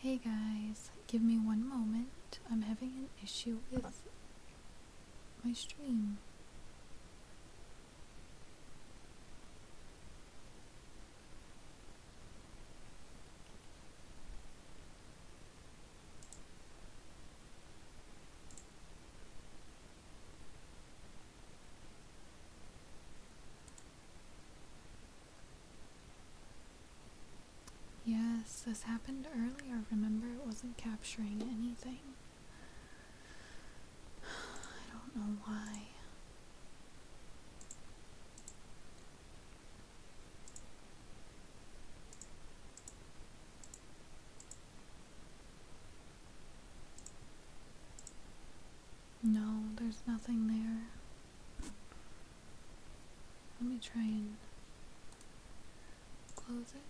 Hey guys, give me one moment. I'm having an issue with my stream. Yes, this happened earlier. Remember, it wasn't capturing anything. I don't know why. No, there's nothing there. Let me try and close it.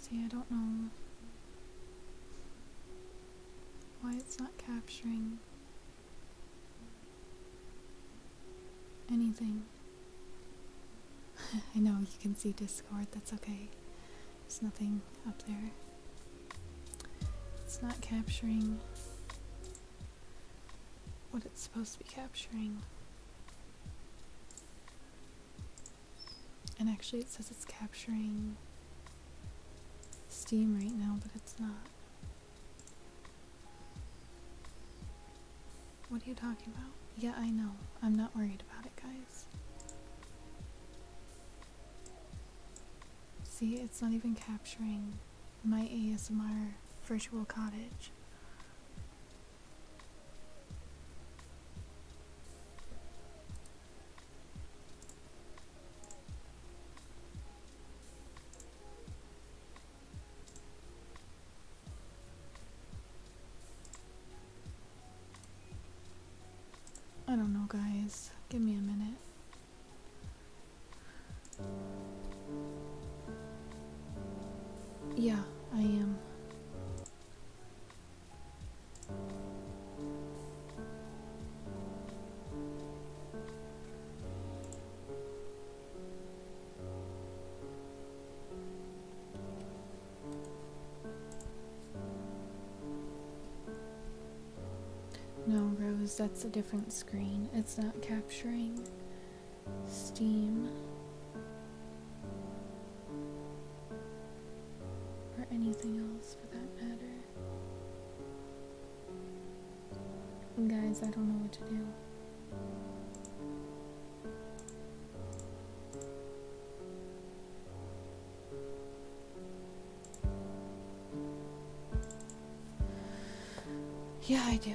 See, I don't know why it's not capturing anything. I know you can see Discord, that's okay. There's nothing up there. It's not capturing what it's supposed to be capturing. And actually, it says it's capturing Steam right now, but it's not. What are you talking about? Yeah, I know. I'm not worried about it, guys. See, it's not even capturing my ASMR virtual cottage. I don't know, guys. Give me a minute. Yeah, I am. No, Rose, that's a different screen. It's not capturing Steam or anything else for that matter. guys, I don't know what to do. Yeah, I do.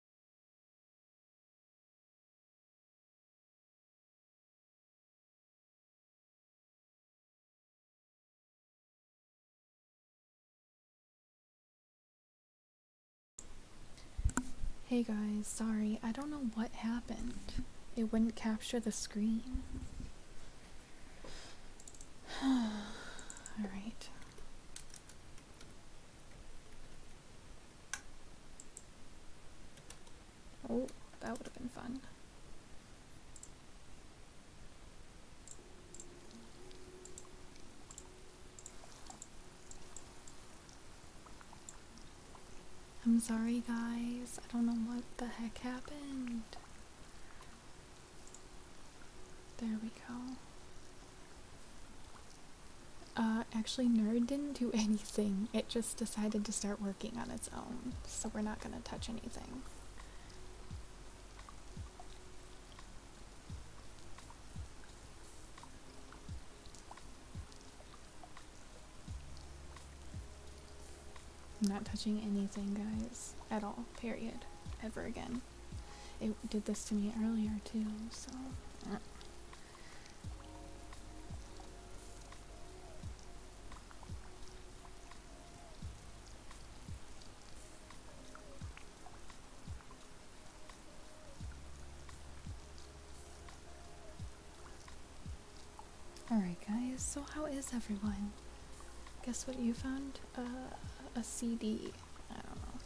Hey guys, sorry, I don't know what happened. It wouldn't capture the screen. Alright. Oh, that would have been fun. I'm sorry guys, I don't know what the heck happened. There we go. Uh, actually, Nerd didn't do anything. It just decided to start working on its own, so we're not going to touch anything. I'm not touching anything, guys, at all, period, ever again. It did this to me earlier, too, so... Eh. Alright guys, so how is everyone? Guess what you found? Uh, a CD. I don't know.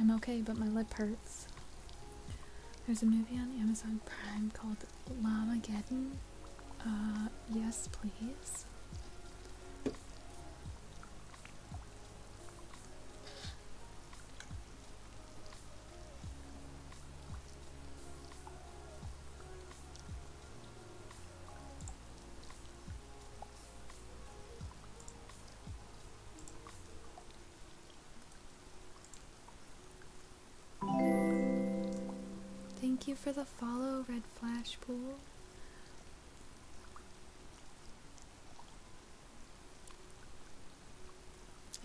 I'm okay, but my lip hurts. There's a movie on Amazon Prime called Lamageddon. Uh, yes, please. Thank you for the follow, Red Flash Pool.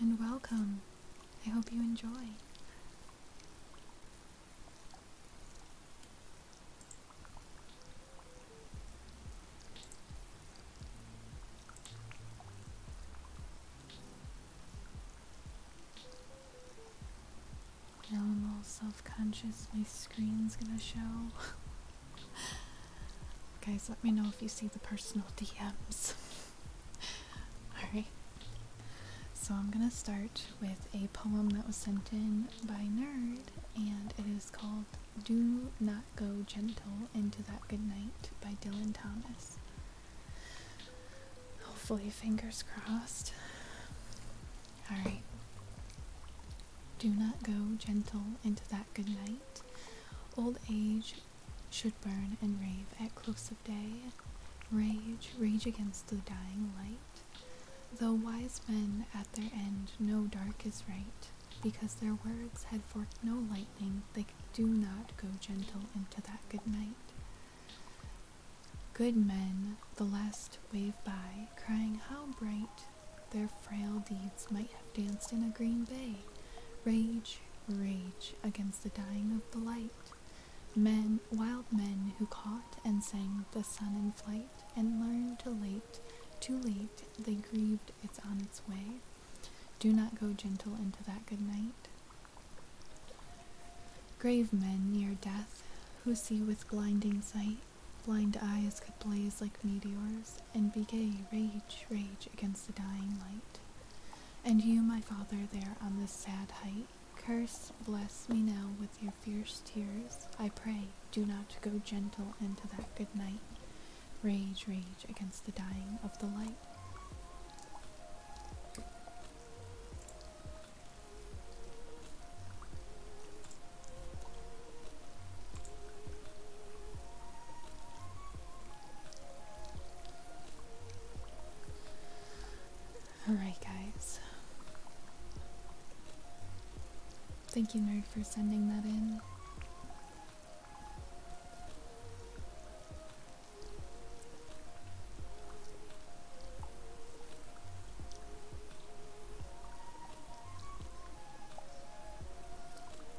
And welcome. I hope you enjoy. I'm all self-conscious, my screen's gonna show. Guys, let me know if you see the personal DMs. Alright. So I'm gonna start with a poem that was sent in by Nerd, and it is called Do Not Go Gentle Into That Good Night by Dylan Thomas. Hopefully, fingers crossed. Alright. Do not go gentle into that good night. Old age should burn and rave at close of day, rage, rage against the dying light. Though wise men at their end know dark is right, because their words had forked no lightning, they do not go gentle into that good night. Good men, the last wave by, crying how bright their frail deeds might have danced in a green bay. Rage, rage against the dying of the light. Men, wild men who caught and sang the sun in flight, and learned too late, too late, they grieved it's on its way. Do not go gentle into that good night. Grave men near death, who see with blinding sight, blind eyes could blaze like meteors, and be gay, rage, rage against the dying light. And you, my father, there on this sad height, curse, bless me now with your fierce tears. I pray, do not go gentle into that good night. Rage, rage against the dying of the light. Alright, guys. Thank you, Nerd, for sending that in.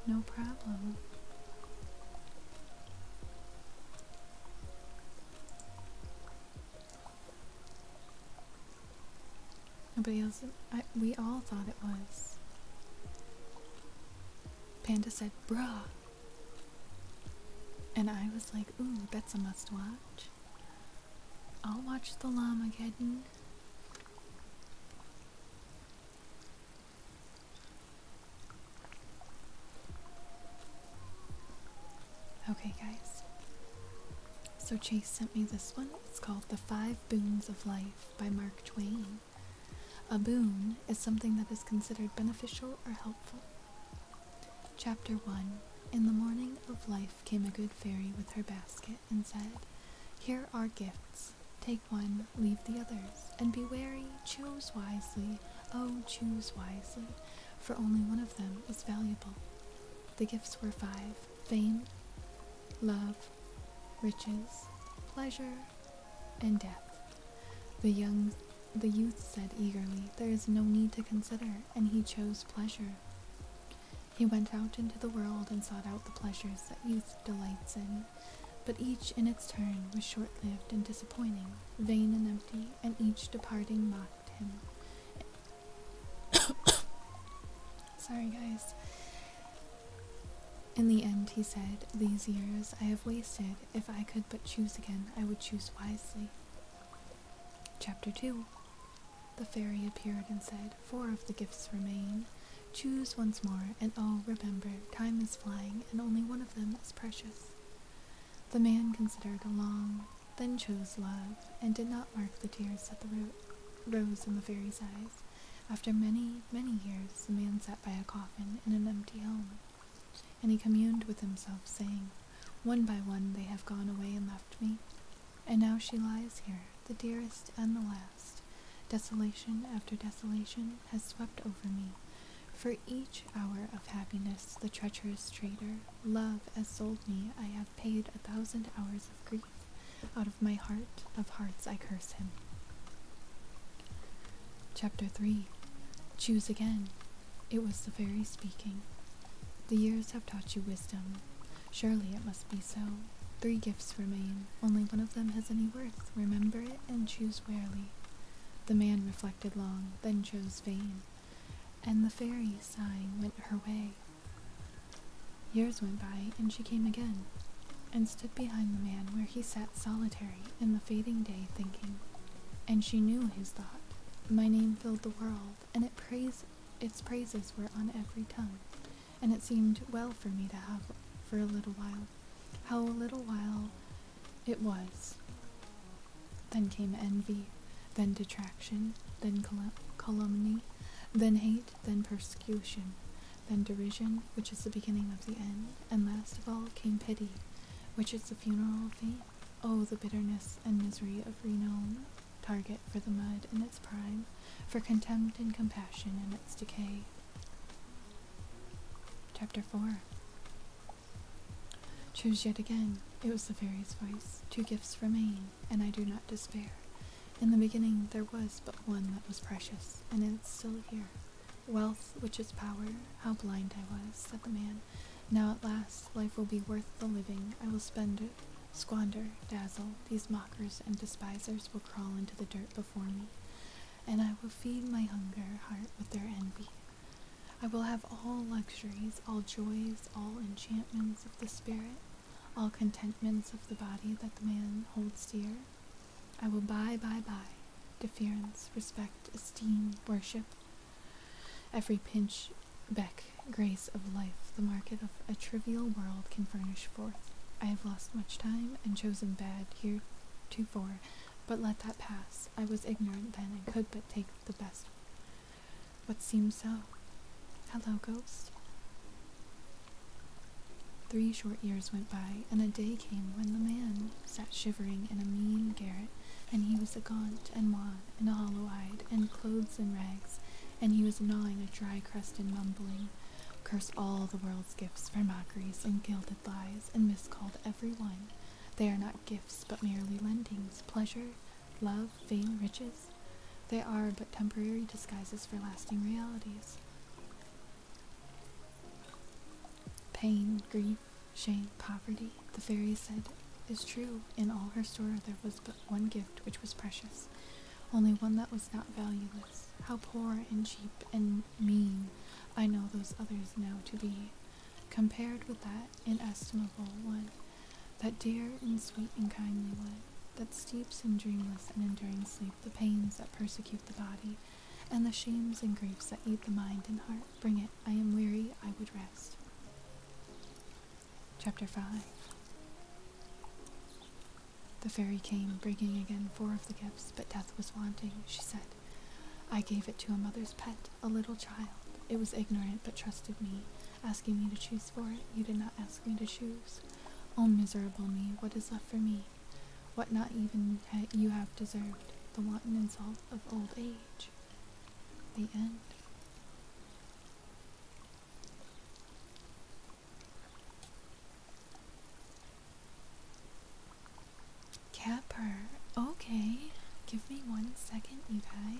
No problem. Nobody else. we all thought it was. Panda said, bruh. And I was like, ooh, that's a must watch. I'll watch the Llamageddon. Okay, guys. So Chase sent me this one. It's called The Five Boons of Life by Mark Twain. A boon is something that is considered beneficial or helpful. Chapter 1 In the morning of life came a good fairy with her basket and said, Here are gifts. Take one, leave the others, and be wary, choose wisely, oh, choose wisely, for only one of them is valuable. The gifts were five fame, love, riches, pleasure, and death. The young the youth said eagerly, There is no need to consider, and he chose pleasure. He went out into the world and sought out the pleasures that youth delights in but each in its turn was short lived and disappointing, vain and empty, and each departing mocked him. Sorry, guys. In the end, he said, These years I have wasted. If I could but choose again, I would choose wisely. Chapter 2 The fairy appeared and said, "Four of the gifts remain. Choose once more, and oh, remember, time is flying, and only one of them is precious. The man considered a long, then chose love, and did not mark the tears that rose in the fairy's eyes. After many, many years, the man sat by a coffin in an empty home, and he communed with himself, saying, One by one they have gone away and left me, and now she lies here, the dearest and the last. Desolation after desolation has swept over me. For each hour of happiness, the treacherous traitor, love, has sold me. I have paid a thousand hours of grief. Out of my heart of hearts, I curse him. Chapter 3 Choose again. It was the fairy speaking. The years have taught you wisdom. Surely it must be so. Three gifts remain. Only one of them has any worth. Remember it and choose warily. The man reflected long, then chose vain. And the fairy, sighing, went her way. Years went by, and she came again, and stood behind the man where he sat solitary in the fading day thinking. And she knew his thought. My name filled the world, and its praises were on every tongue and it seemed well for me to have for a little while. How little while it was. Then came envy, then detraction, then calumny, then hate, then persecution, then derision, which is the beginning of the end, and last of all came pity, which is the funeral of fame. Oh, the bitterness and misery of renown, target for the mud in its prime, for contempt and compassion in its decay. Chapter 4 Choose yet again. It was the fairy's voice. Two gifts remain, and I do not despair. In the beginning there was but one that was precious, and it is still here. Wealth, which is power, how blind I was, said the man. Now at last life will be worth the living. I will spend it, squander, dazzle. These mockers and despisers will crawl into the dirt. For me, and I will feed my hunger heart with their envy. I will have all luxuries, all joys, all enchantments of the spirit, all contentments of the body that the man holds dear. I will buy, buy, buy, deference, respect, esteem, worship, every pinch, beck, grace of life, the market of a trivial world can furnish forth. I have lost much time and chosen bad here two four, but let that pass. I was ignorant then and could but take the best. What seems so? Hello, ghost. Three short years went by, and a day came when the man sat shivering in a mean garret, and he was gaunt and wan and hollow-eyed, and clothes in rags, and he was gnawing a dry crust and mumbling, Curse all the world's gifts for mockeries and gilded lies, and miscalled every one. They are not gifts, but merely lendings, pleasure, love, vain riches. They are but temporary disguises for lasting realities. Pain, grief, shame, poverty, the fairy said, is true. In all her store there was but one gift which was precious, only one that was not valueless. How poor and cheap and mean I know those others now to be, compared with that inestimable one, that dear and sweet and kindly one, that steeps in dreamless and enduring sleep the pains that persecute the body, and the shames and griefs that eat the mind and heart. Bring it, I am weary, I would rest. Chapter 5 the fairy came, bringing again four of the gifts, but death was wanting, she said. I gave it to a mother's pet, a little child. It was ignorant, but trusted me, asking me to choose for it. You did not ask me to choose. Oh, miserable me, what is left for me? What not even you have deserved, the wanton insult of old age. The end. Capper. Okay. Give me one second, you guys.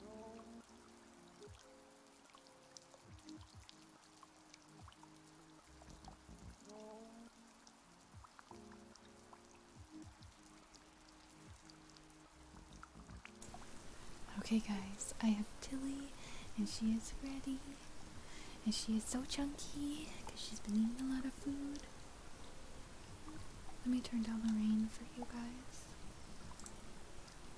No. Oh. Okay guys, I have Tilly and she is ready and she is so chunky because she's been eating a lot of food. Let me turn down the rain for you guys.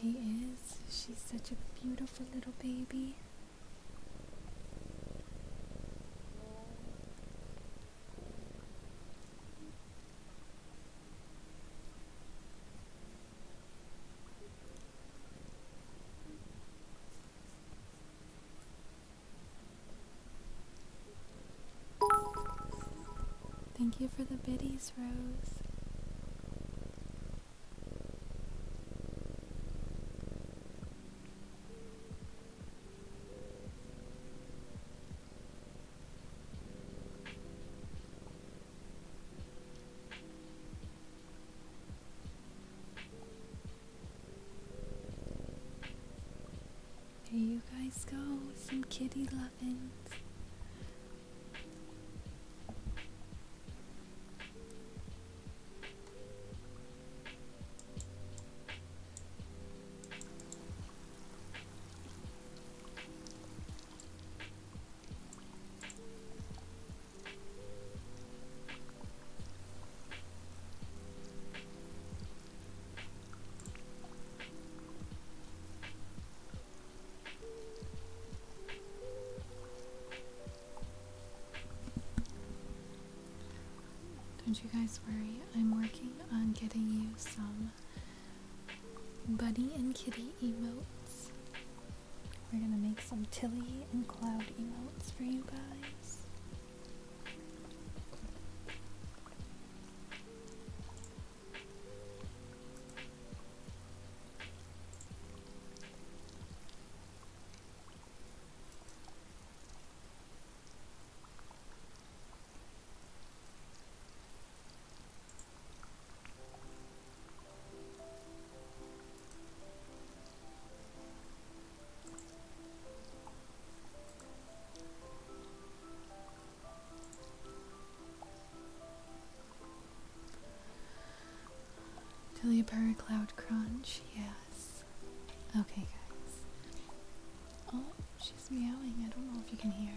She is. She's such a beautiful little baby. Thank you for the biddies, Rose. Here you guys go, some kitty lovins. Don't you guys worry, I'm working on getting you some Buddy and kitty emotes. We're gonna make some Tilly and Cloud emotes for you guys. Dilliper Cloud Crunch, yes. Okay, guys. Oh, she's meowing. I don't know if you can hear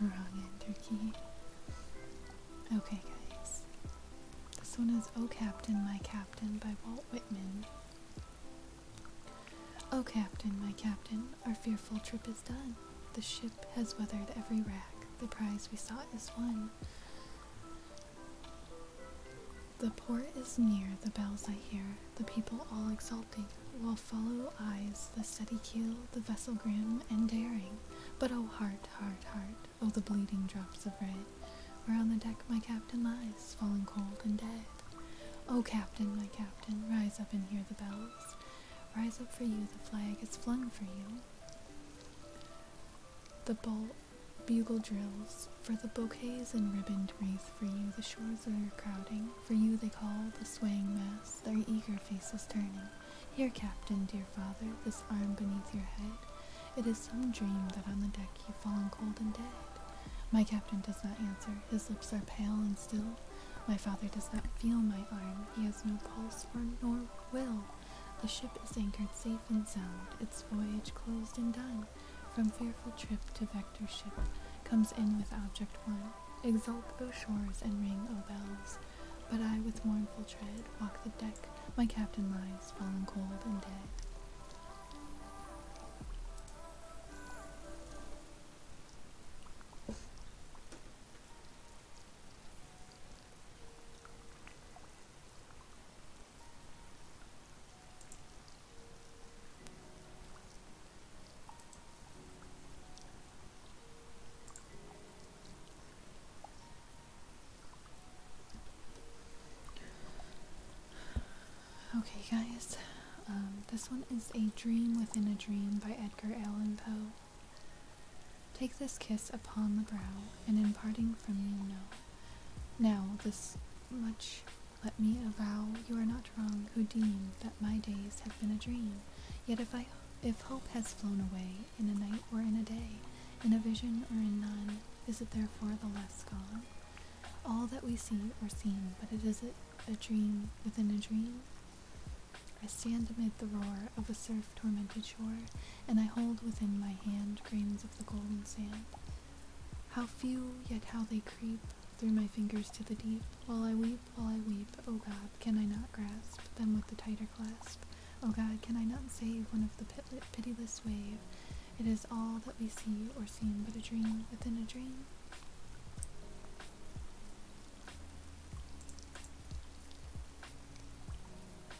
wrong mm. enter Okay, guys. This one is Oh Captain, My Captain by Walt Whitman. Oh Captain, my Captain, our fearful trip is done. The ship has weathered every rack, the prize we sought is won. The port is near, the bells I hear, the people all exulting, while follow eyes the steady keel, the vessel grim and daring. But oh heart, heart, heart, oh the bleeding drops of red, where on the deck my captain lies, fallen cold and dead. Oh captain, my captain, rise up and hear the bells. Rise up for you, the flag is flung for you. The bolt Bugle drills, for the bouquets and ribboned wreath, for you the shores are crowding, for you they call the swaying mass, their eager faces turning. Here, Captain, dear father, this arm beneath your head, it is some dream that on the deck you've fallen cold and dead. My captain does not answer, his lips are pale and still. My father does not feel my arm, he has no pulse or nor will. The ship is anchored safe and sound, its voyage closed and done. From fearful trip to vector ship comes in with object one. Exult, O shores, and ring, O bells. But I with mournful tread walk the deck, my captain lies fallen cold and dead. Okay, guys, um, this one is A Dream Within a Dream by Edgar Allan Poe. Take this kiss upon the brow, and in parting from you know now, this much let me avow you are not wrong who deem that my days have been a dream. Yet if I if hope has flown away in a night or in a day, in a vision or in none, is it therefore the less gone? All that we see or seem, but it is a, a dream within a dream. I stand amid the roar of a surf tormented shore, and I hold within my hand grains of the golden sand. How few, yet how they creep through my fingers to the deep. While I weep, while I weep, O oh God, can I not grasp them with the tighter clasp? O oh God, can I not save one of the pitiless wave? It is all that we see or seem but a dream within a dream.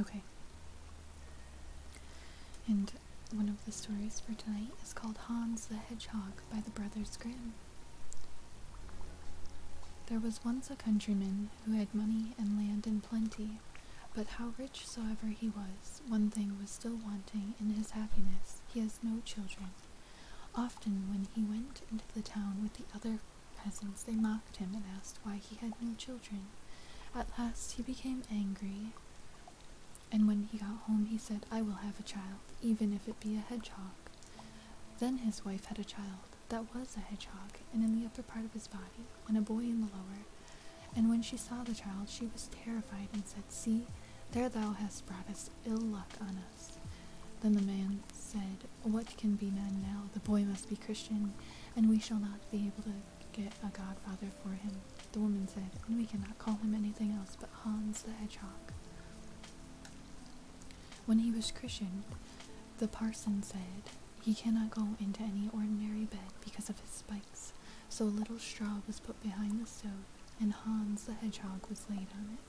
Okay. And one of the stories for tonight is called Hans the Hedgehog by the Brothers Grimm. There was once a countryman who had money and land in plenty, but how rich soever he was, one thing was still wanting in his happiness. He has no children. Often when he went into the town with the other peasants, they mocked him and asked why he had no children. At last he became angry, and when he got home he said, I will have a child, even if it be a hedgehog. Then his wife had a child that was a hedgehog, and in the upper part of his body, and a boy in the lower. And when she saw the child, she was terrified and said, See, there thou hast brought us ill luck on us. Then the man said, What can be done now? The boy must be Christian, and we shall not be able to get a godfather for him. The woman said, And we cannot call him anything else but Hans the Hedgehog. When he was christened, the parson said, He cannot go into any ordinary bed because of his spikes, so a little straw was put behind the stove and Hans the hedgehog was laid on it.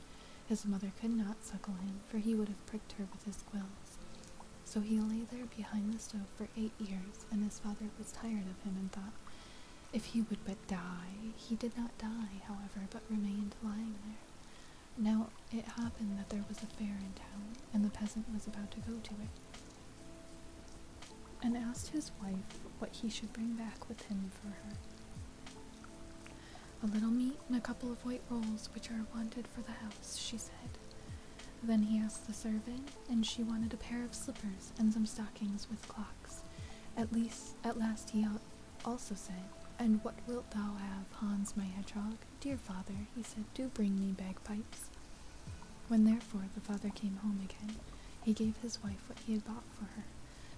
His mother could not suckle him, for he would have pricked her with his quills. So he lay there behind the stove for eight years, and his father was tired of him and thought, if he would but die. He did not die, however, but remained lying there. Now it happened that there was a fair in town, and the peasant was about to go to it, and asked his wife what he should bring back with him a little meat and a couple of white rolls, which are wanted for the house, she said. Then he asked the servant, and she wanted a pair of slippers and some stockings with clocks. At least, at last, he also said, And what wilt thou have, Hans my hedgehog? Dear father, he said, do bring me bagpipes. When therefore the father came home again, he gave his wife what he had bought for her,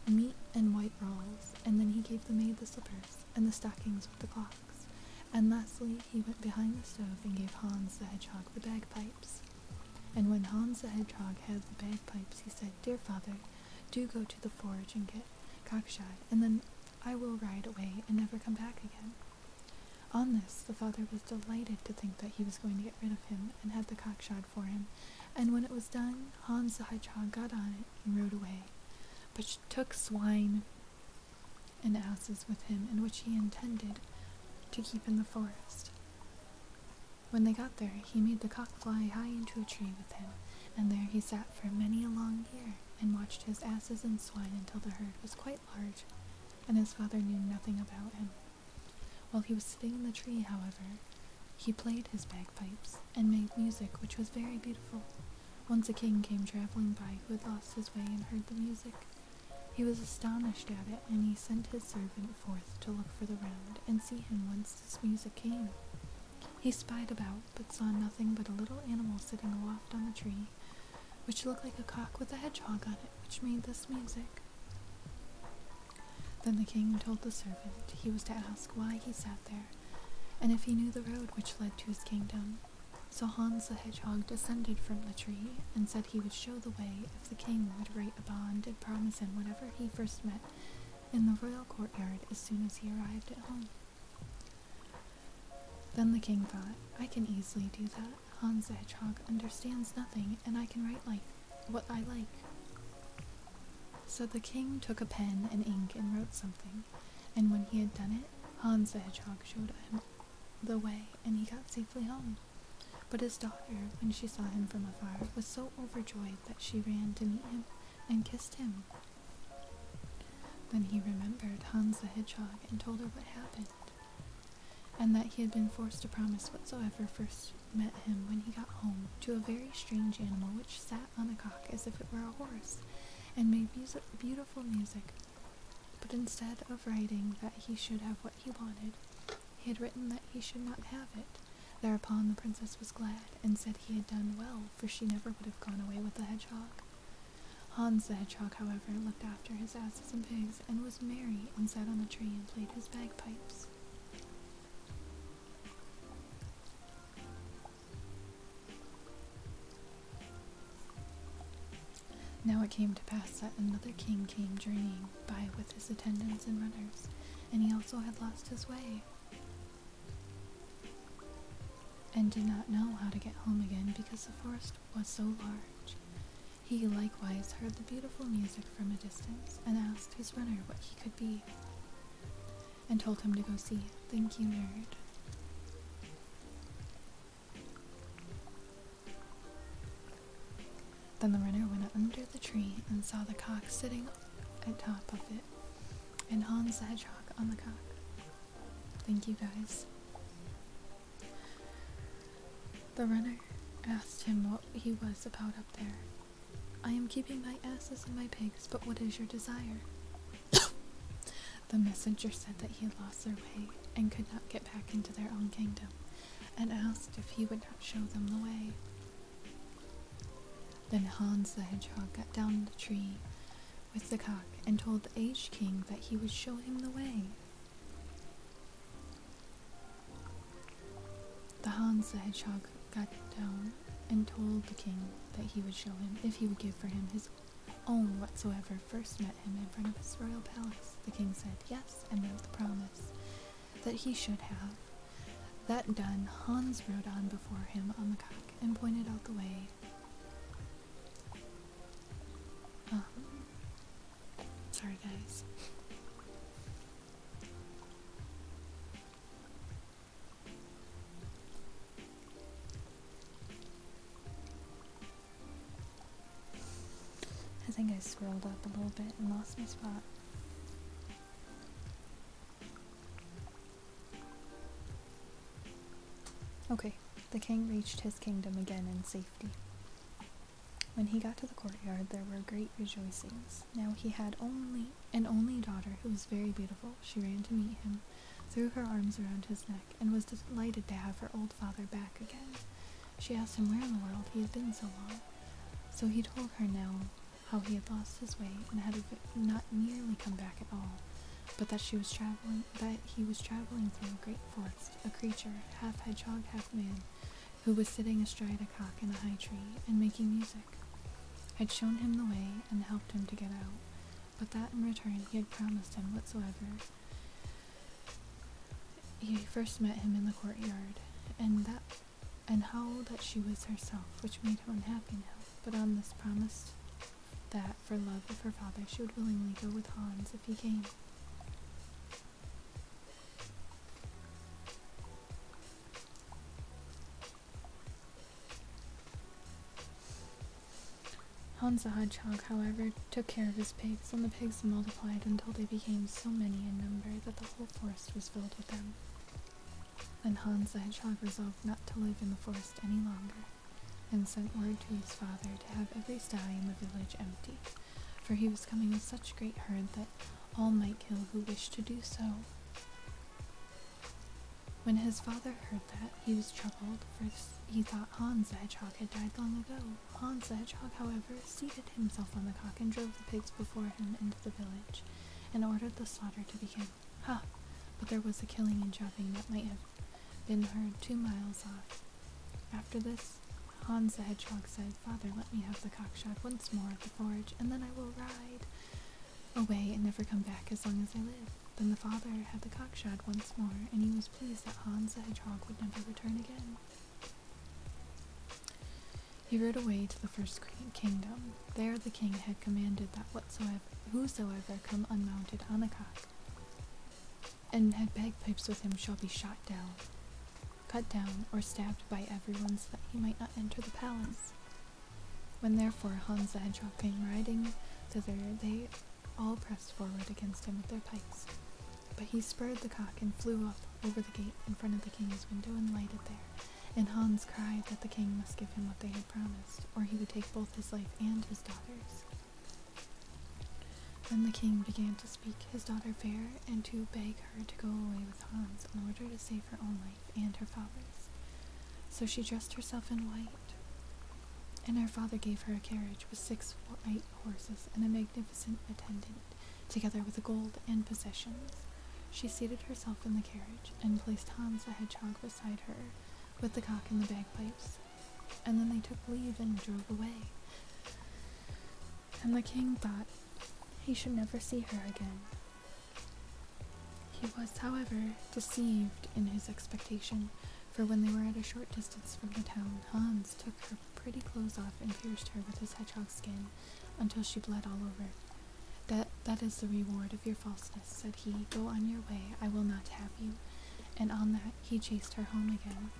meat and white rolls, and then he gave the maid the slippers and the stockings with the clocks. And lastly, he went behind the stove and gave Hans the hedgehog the bagpipes. And when Hans the hedgehog had the bagpipes, he said, Dear father, do go to the forge and get cockshot, and then I will ride away and never come back again. On this, the father was delighted to think that he was going to get rid of him and had the cock shod for him, and when it was done, Hans the Hedgehog got on it and rode away, but took swine and asses with him, and which he intended to keep in the forest. When they got there, he made the cock fly high into a tree with him, and there he sat for many a long year, and watched his asses and swine until the herd was quite large, and his father knew nothing about him. While he was sitting in the tree, however, he played his bagpipes and made music which was very beautiful. Once a king came traveling by who had lost his way and heard the music. He was astonished at it, and he sent his servant forth to look for the round and see him whence this music came. He spied about, but saw nothing but a little animal sitting aloft on the tree, which looked like a cock with a hedgehog on it, which made this music. Then the king told the servant he was to ask why he sat there, and if he knew the road which led to his kingdom. So Hans the Hedgehog descended from the tree and said he would show the way if the king would write a bond and promise him whatever he first met in the royal courtyard as soon as he arrived at home. Then the king thought, I can easily do that. Hans the Hedgehog understands nothing, and I can write like what I like. So the king took a pen and ink and wrote something, and when he had done it, Hans the Hedgehog showed him the way, and he got safely home. But his daughter, when she saw him from afar, was so overjoyed that she ran to meet him and kissed him. Then he remembered Hans the Hedgehog and told her what happened, and that he had been forced to promise whatsoever first met him when he got home to a very strange animal which sat on a cock as if it were a horse and made beautiful music. But instead of writing that he should have what he wanted, he had written that he should not have it. Thereupon the princess was glad and said he had done well, for she never would have gone away with the hedgehog. Hans the hedgehog, however, looked after his asses and pigs and was merry and sat on the tree and played his bagpipes. Now it came to pass that another king came journeying by with his attendants and runners, and he also had lost his way, and did not know how to get home again because the forest was so large. He likewise heard the beautiful music from a distance, and asked his runner what he could be. And told him to go see. Thank you, nerd. Then the runner went under the tree and saw the cock sitting at top of it, and Hans the hedgehog on the cock. Thank you guys. The runner asked him what he was about up there, I am keeping my asses and my pigs, but what is your desire? the messenger said that he had lost their way and could not get back into their own kingdom, and asked if he would not show them the way. Then Hans the Hedgehog got down the tree with the cock and told the aged king that he would show him the way. The Hans the Hedgehog got down and told the king that he would show him if he would give for him his own whatsoever first met him in front of his royal palace. The king said yes and made the promise that he should have. That done, Hans rode on before him on the cock and pointed out the way. Um, sorry, guys. I think I scrolled up a little bit and lost my spot. Okay, the king reached his kingdom again in safety. When he got to the courtyard, there were great rejoicings. Now he had only an only daughter who was very beautiful, she ran to meet him, threw her arms around his neck, and was delighted to have her old father back again. She asked him where in the world he had been so long. So he told her now how he had lost his way and had not nearly come back at all, but that she was traveling that he was traveling through a great forest, a creature, half hedgehog, half man, who was sitting astride a cock in a high tree and making music had shown him the way and helped him to get out, but that in return he had promised him whatsoever. He first met him in the courtyard, and that and how that she was herself, which made him unhappy now, but on this promise that, for love of her father, she would willingly go with Hans if he came. Hans the Hedgehog, however, took care of his pigs, and the pigs multiplied until they became so many in number that the whole forest was filled with them. Then Hans the Hedgehog resolved not to live in the forest any longer, and sent word to his father to have every sty in the village empty, for he was coming in such great herd that all might kill who wished to do so. When his father heard that, he was troubled, for he thought Hans the hedgehog had died long ago. Hans the hedgehog, however, seated himself on the cock and drove the pigs before him into the village, and ordered the slaughter to begin. Ha! But there was a killing and chopping that might have been heard two miles off. After this, Hans the hedgehog said, Father, let me have the cock shot once more at the forge, and then I will ride away and never come back as long as I live. Then the father had the cock shot once more, and he was pleased that Hans the Hedgehog would never return again. He rode away to the first kingdom. There the king had commanded that whatsoever, whosoever come unmounted on a cock, and had bagpipes with him shall be shot down, cut down, or stabbed by everyone so that he might not enter the palace. When therefore Hans the Hedgehog came riding thither, they all pressed forward against him with their pikes. But he spurred the cock and flew up over the gate in front of the king's window and lighted there. And Hans cried that the king must give him what they had promised, or he would take both his life and his daughter's. Then the king began to speak his daughter fair and to beg her to go away with Hans in order to save her own life and her father's. So she dressed herself in white, and her father gave her a carriage with six white horses and a magnificent attendant, together with gold and possessions. She seated herself in the carriage and placed Hans the hedgehog beside her, with the cock and the bagpipes. And then they took leave and drove away. And the king thought he should never see her again, he was, however, deceived in his expectation, for when they were at a short distance from the town, Hans took her pretty clothes off and pierced her with his hedgehog skin until she bled all over. That, that is the reward of your falseness, said he. Go on your way, I will not have you. And on that, he chased her home again,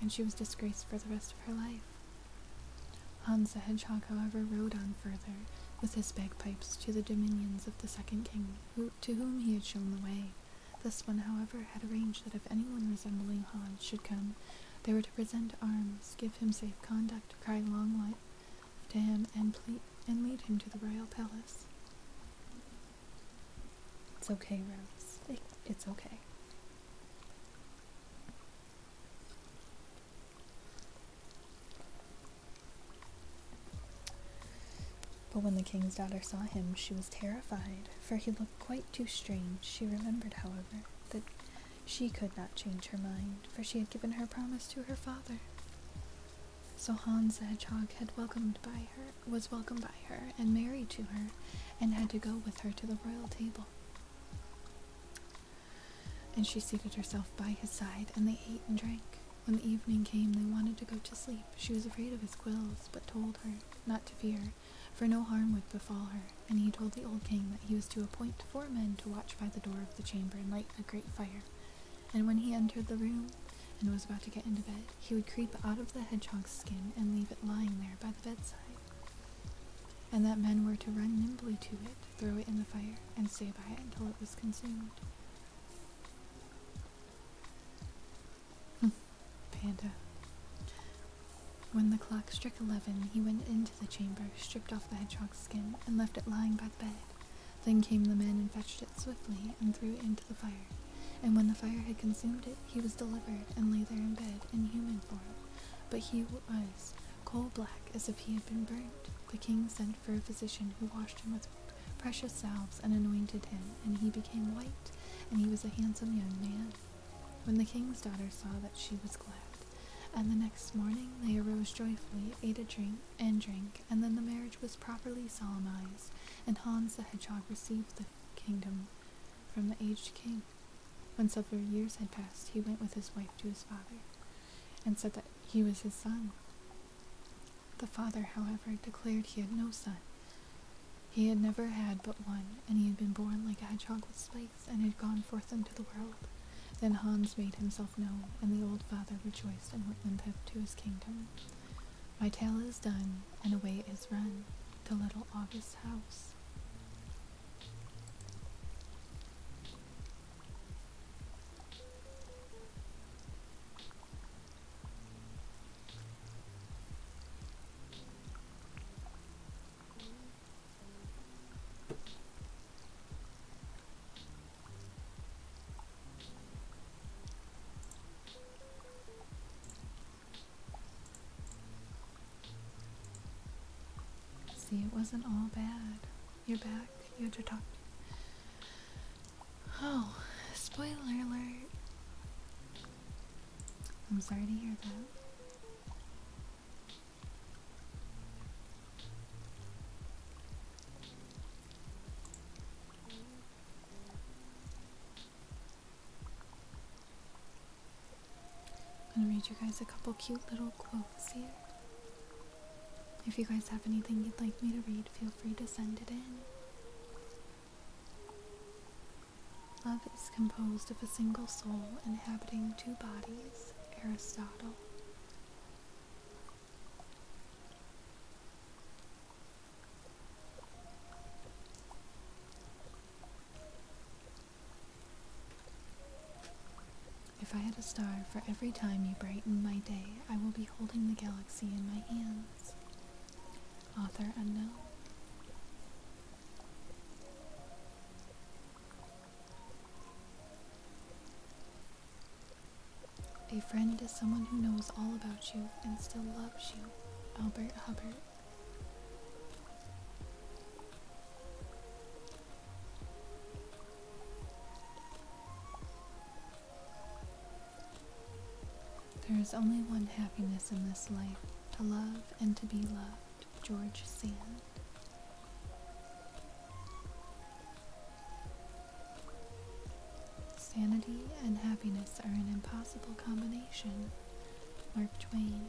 and she was disgraced for the rest of her life. Hans the Hedgehog, however, rode on further, with his bagpipes, to the dominions of the second king, to whom he had shown the way. This one, however, had arranged that if anyone resembling Hans should come, they were to present arms, give him safe conduct, cry long life to him, and, lead him to the royal palace. It's okay, Rose. it's okay. But when the king's daughter saw him, she was terrified, for he looked quite too strange. She remembered, however, that she could not change her mind, for she had given her promise to her father. So Hans the Hedgehog was welcomed by her, and married to her, and had to go with her to the royal table. And she seated herself by his side, and they ate and drank. When the evening came, they wanted to go to sleep. She was afraid of his quills, but told her not to fear, for no harm would befall her. And he told the old king that he was to appoint four men to watch by the door of the chamber and light a great fire. And when he entered the room and was about to get into bed, he would creep out of the hedgehog's skin and leave it lying there by the bedside, and that men were to run nimbly to it throw it in the fire, and stay by it until it was consumed. Hmm. Panda. When the clock struck eleven, he went into the chamber, stripped off the hedgehog's skin, and left it lying by the bed. Then came the men and fetched it swiftly and threw it into the fire. And when the fire had consumed it, he was delivered and lay there in bed in human form. But he was coal black as if he had been burnt. The king sent for a physician who washed him with precious salves and anointed him, and he became white, and he was a handsome young man. When the king's daughter saw that she was glad, and the next morning they arose joyfully, ate a drink and drank, and then the marriage was properly solemnized, and Hans the Hedgehog received the kingdom from the aged king. When several years had passed, he went with his wife to his father, and said that he was his son. The father, however, declared he had no son. He had never had but one, and he had been born like a hedgehog with spikes, and had gone forth into the world. Then Hans made himself known, and the old father rejoiced and went him to his kingdom. My tale is done, and away is run to little August's house. See, it wasn't all bad. You're back. You had your talk. Oh, spoiler alert. I'm sorry to hear that. I'm gonna read you guys a couple cute little quotes here. If you guys have anything you'd like me to read, feel free to send it in. Love is composed of a single soul inhabiting two bodies, Aristotle. If I had a star for every time you brighten my day, I will be holding the galaxy in my hands. Author unknown. A friend is someone who knows all about you and still loves you. Albert Hubbard. There is only one happiness in this life to love and to be loved. George Sand. Sanity and happiness are an impossible combination. Mark Twain.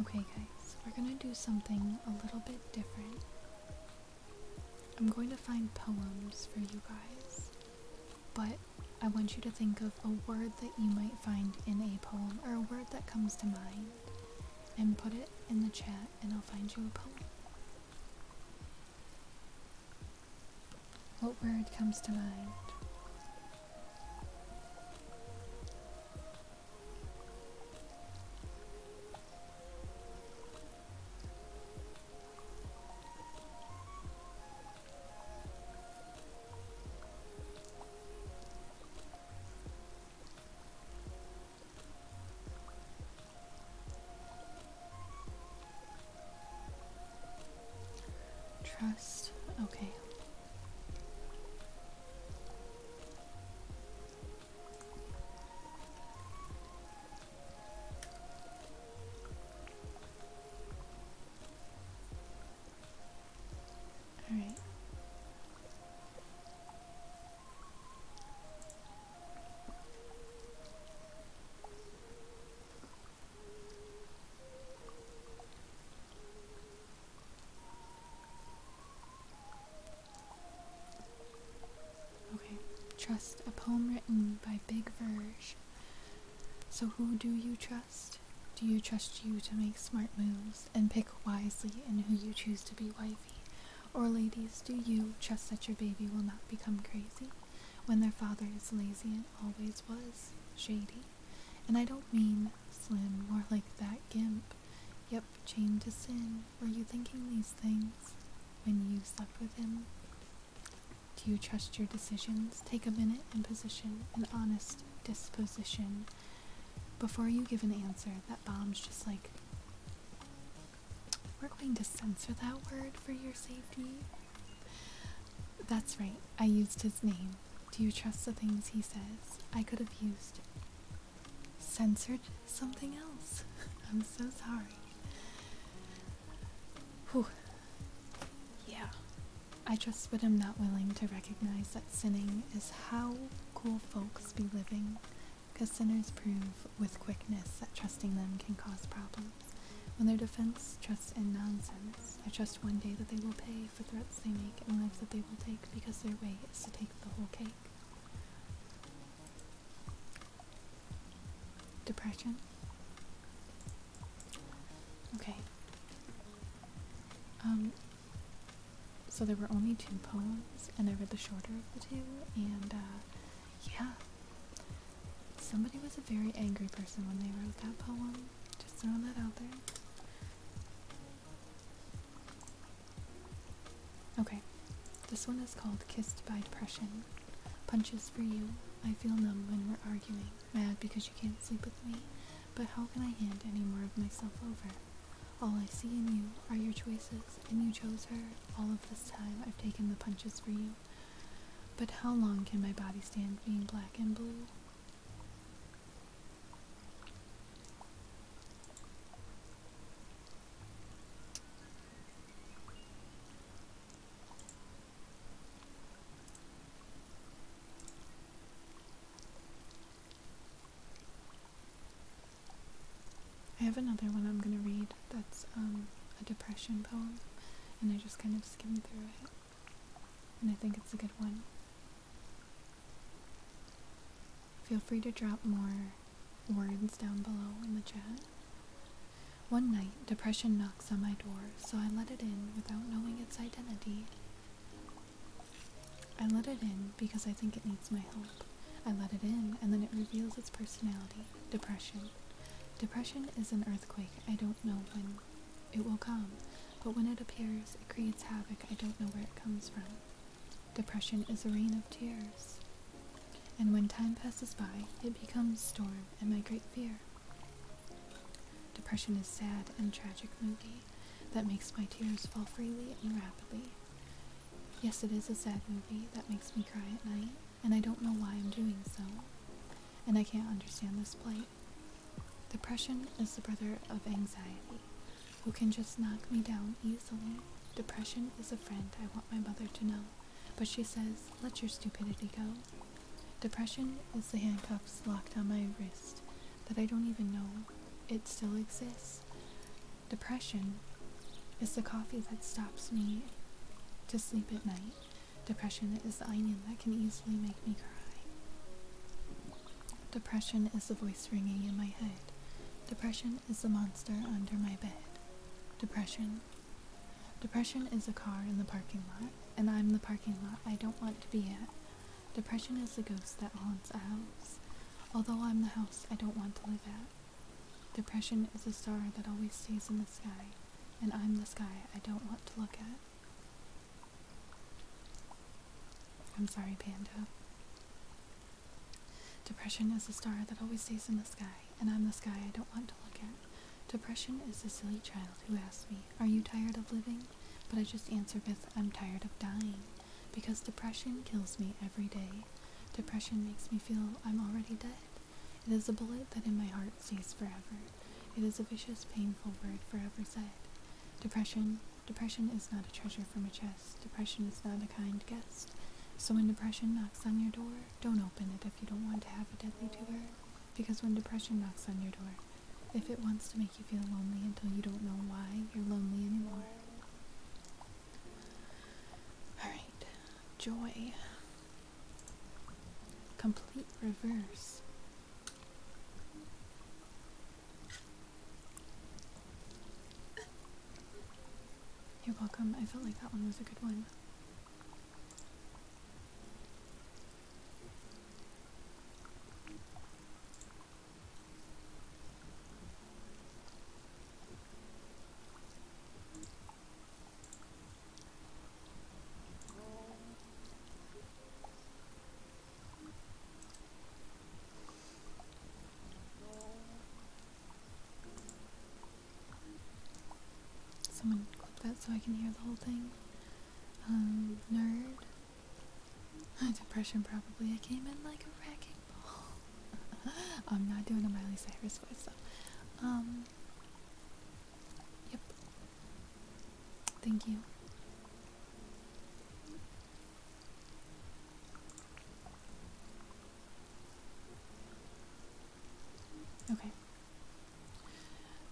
Okay, guys, we're gonna do something a little bit different. I'm going to find poems for you guys, but I want you to think of a word that you might find in a poem or a word that comes to mind and put it in the chat, and I'll find you a poem. What word comes to mind? Trust. Okay. All right. Okay, trust a poem written by Big Verge. So, who do you trust? Do you trust you to make smart moves and pick wisely in who you choose to be wifey? Or, ladies, do you trust that your baby will not become crazy? When their father is lazy and always was shady. And I don't mean slim, more like that gimp. Yep, chained to sin. Were you thinking these things when you slept with him? Do you trust your decisions? Take a minute and position an honest disposition before you give an answer that bombs just like we're going to censor that word for your safety that's right, I used his name. Do you trust the things he says? I could have used. Censored something else. I'm so sorry. Whew. Yeah. I trust, but i am not willing to recognize that sinning is how cool folks be living, because sinners prove with quickness that trusting them can cause problems. When um, their defense trusts in nonsense, I trust one day that they will pay for threats they make and lives that they will take because their way is to take the whole cake. Depression. Okay. Um, so there were only two poems, and I read the shorter of the two, and uh, yeah. Somebody was a very angry person when they wrote that poem. Just throwing that out there. Okay, this one is called Kissed by Depression. Punches for you. I feel numb when we're arguing, mad because you can't sleep with me, but how can I hand any more of myself over? All I see in you are your choices, and you chose her. All of this time, I've taken the punches for you. But how long can my body stand being black and blue? I have another one I'm going to read that's um, a depression poem, and I just kind of skimmed through it and I think it's a good one. Feel free to drop more words down below in the chat. One night, depression knocks on my door, so I let it in without knowing its identity. I let it in because I think it needs my help. I let it in, and then it reveals its personality depression. Depression is an earthquake I don't know when it will come, but when it appears, it creates havoc. I don't know where it comes from. Depression is a rain of tears. And when time passes by, it becomes storm and my great fear. Depression is sad and tragic movie that makes my tears fall freely and rapidly. Yes, it is a sad movie that makes me cry at night, and I don't know why I'm doing so. And I can't understand this plight. Depression is the brother of anxiety, who can just knock me down easily. Depression is a friend I want my mother to know, but she says, let your stupidity go. Depression is the handcuffs locked on my wrist that I don't even know it still exists. Depression is the coffee that stops me to sleep at night Depression is the onion that can easily make me cry. Depression is the voice ringing in my head. Depression is the monster under my bed. Depression. Depression is a car in the parking lot, and I'm the parking lot I don't want to be at. Depression is the ghost that haunts a house, although I'm the house I don't want to live at. Depression is a star that always stays in the sky, and I'm the sky I don't want to look at. I'm sorry, Panda. Depression is the star that always stays in the sky, and I'm the sky I don't want to look at. Depression is the silly child who asks me, Are you tired of living? But I just answer with, I'm tired of dying, because depression kills me every day. Depression makes me feel I'm already dead. It is a bullet that in my heart stays forever. It is a vicious, painful word forever said. Depression. Depression is not a treasure from a chest. Depression is not a kind guest. So when depression knocks on your door, don't open it if you don't want to have a deadly tumor. Because when depression knocks on your door, if it wants to make you feel lonely until you don't know why you're lonely anymore. Alright, joy. Complete reverse. You're welcome. I felt like that one was a good one. Someone clip that so I can hear the whole thing. Um, nerd. Depression probably. I came in like a wrecking ball. I'm not doing a Miley Cyrus voice though. Um, Yep. Thank you. Okay.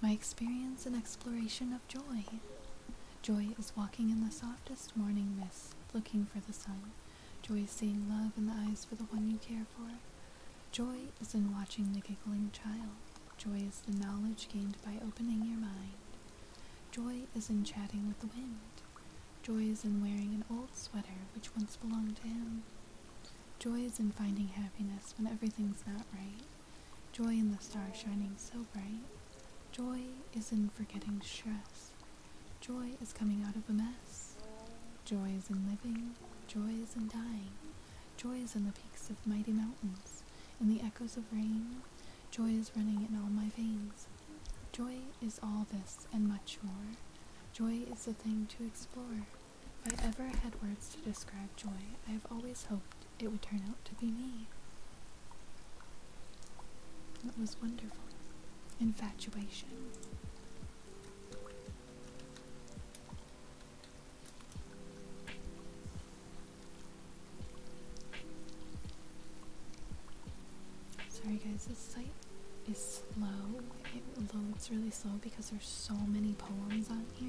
My experience and exploration of joy. Joy is walking in the softest morning mist, looking for the sun. Joy is seeing love in the eyes for the one you care for. Joy is in watching the giggling child, Joy is the knowledge gained by opening your mind. Joy is in chatting with the wind. Joy is in wearing an old sweater which once belonged to him. Joy is in finding happiness when everything's not right. Joy in the stars shining so bright. Joy is in forgetting stress. Joy is coming out of a mess. Joy is in living. Joy is in dying. Joy is in the peaks of mighty mountains, in the echoes of rain. Joy is running in all my veins. Joy is all this and much more. Joy is the thing to explore. If I ever had words to describe joy, I have always hoped it would turn out to be me. It was wonderful. Infatuation. Sorry guys, this site is slow. It loads really slow because there's so many poems on here.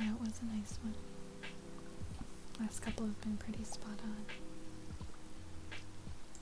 Yeah, it was a nice one. Last couple have been pretty spot on.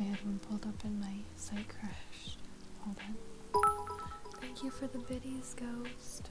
I had one pulled up and my site crashed. Hold on. Thank you for the biddies, Ghost.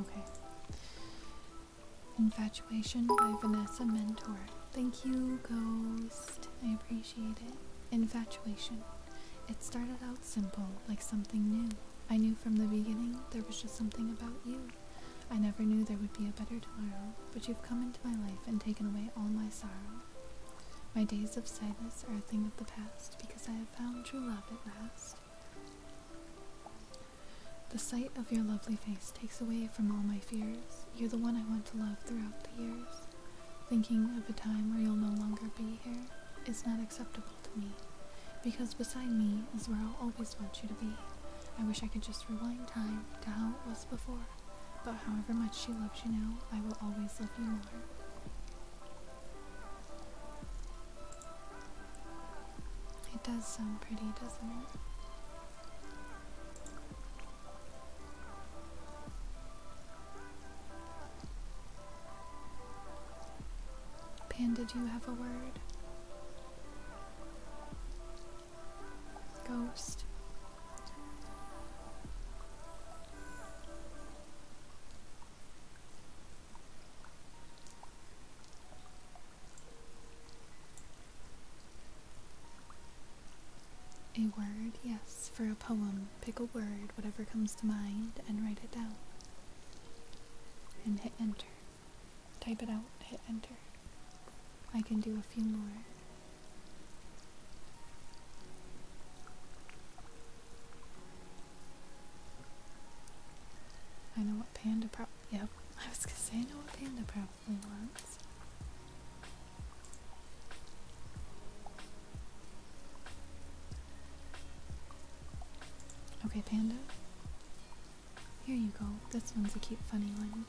Okay. Infatuation by Vanessa Mentor. Thank you, Ghost. I appreciate it. Infatuation. It started out simple, like something new. I knew from the beginning there was just something about you. I never knew there would be a better tomorrow, but you've come into my life and taken away all my sorrow. My days of sadness are a thing of the past because I have found true love at last. The sight of your lovely face takes away from all my fears. You're the one I want to love throughout the years. Thinking of a time where you'll no longer be here is not acceptable to me. Because beside me is where I'll always want you to be. I wish I could just rewind time to how it was before. But however much she loves you now, I will always love you more. It does sound pretty, doesn't it? Panda, do you have a word? Ghost. A word, yes, for a poem. Pick a word, whatever comes to mind, and write it down. And hit enter. Type it out, hit enter. I can do a few more. I know what panda problem. Yep, I was gonna say I know what panda problem. Okay, Panda. Here you go. This one's a cute, funny one.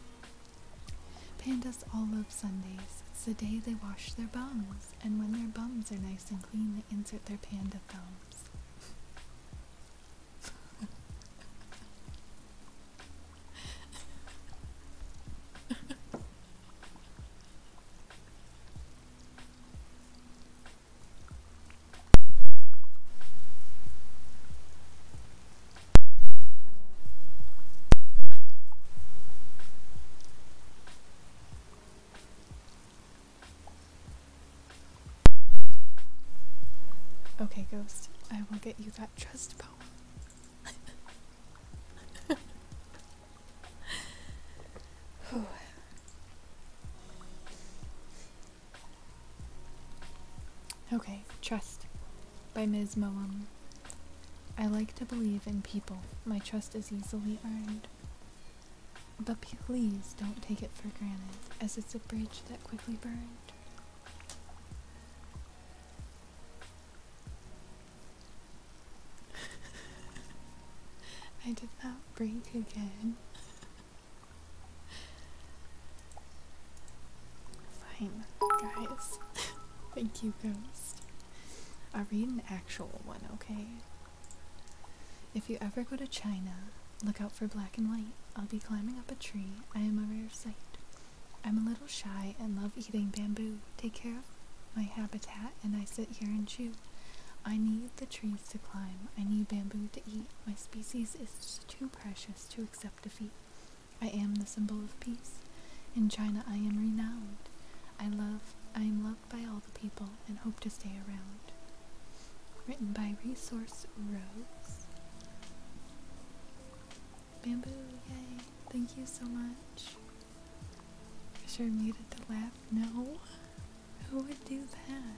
Pandas all love Sundays. It's the day they wash their bums, and when their bums are nice and clean, they insert their panda thumbs. Okay, Ghost, I will get you that trust poem. okay, Trust by Ms. Moam. I like to believe in people. My trust is easily earned. But please don't take it for granted, as it's a bridge that quickly burned. I did not break again. Fine, guys. Thank you, Ghost. i read an actual one, okay? If you ever go to China, look out for black and white. I'll be climbing up a tree. I am a rare sight. I'm a little shy and love eating bamboo. Take care of my habitat and I sit here and chew. I need the trees to climb. I need bamboo to eat. My species is too precious to accept defeat. I am the symbol of peace. In China I am renowned. I love I am loved by all the people and hope to stay around. Written by Resource Rose. Bamboo, yay. Thank you so much. I sure muted to laugh. No. Who would do that?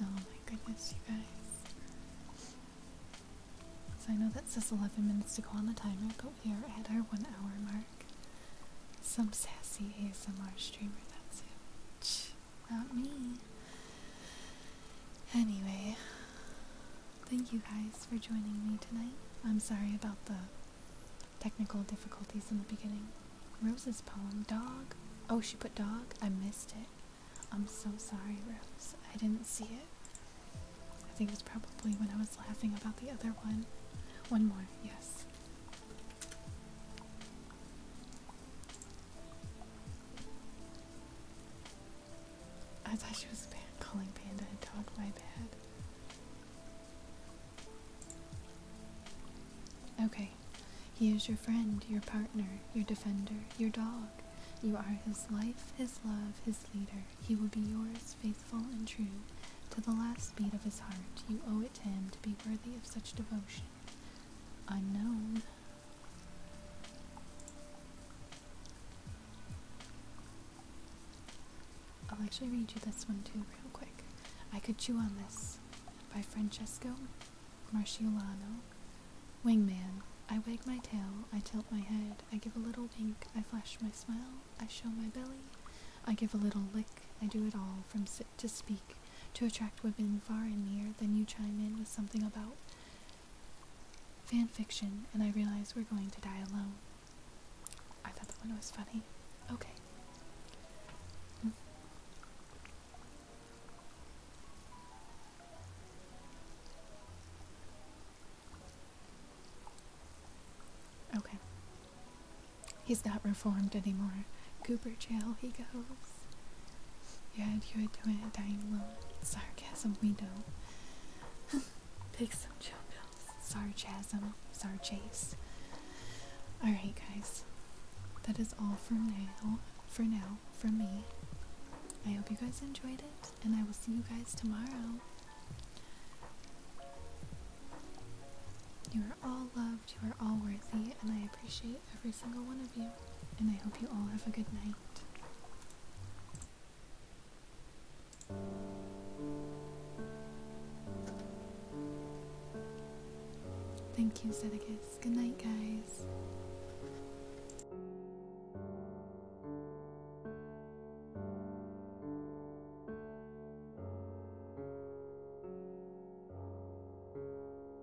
Oh my goodness, you guys. So I know that says 11 minutes to go on the timer, but we are at our one hour mark. Some sassy ASMR streamer, that's it. About me. Anyway, thank you guys for joining me tonight. I'm sorry about the technical difficulties in the beginning. Rose's poem, Dog. Oh, she put dog? I missed it. I'm so sorry, Rose. I didn't see it. I think it was probably when I was laughing about the other one. One more, yes. I thought she was calling Panda a dog, my bad. Okay, he is your friend, your partner, your defender, your dog. You are his life, his love, his leader. He will be yours, faithful and true. To the last beat of his heart, you owe it to him to be worthy of such devotion. Unknown. I'll actually read you this one too, real quick. I Could Chew on This by Francesco Marciolano. Wingman. I wag my tail, I tilt my head, I give a little wink, I flash my smile, I show my belly, I give a little lick, I do it all from sit to speak to attract women far and near, then you chime in with something about fan fiction, and I realize we're going to die alone. I thought that one was funny. Okay. Okay. He's not reformed anymore. Cooper jail he goes. Yeah, you are doing a dying alone. Sarcasm we know. Pick some chill pills. Sarcasm. Sarchase. Alright guys. That is all for now for now for me. I hope you guys enjoyed it, and I will see you guys tomorrow. You are all loved, you are all worthy, and I appreciate every single one of you, and I hope you all have a good night. Thank you, Zedekus. Good night, guys.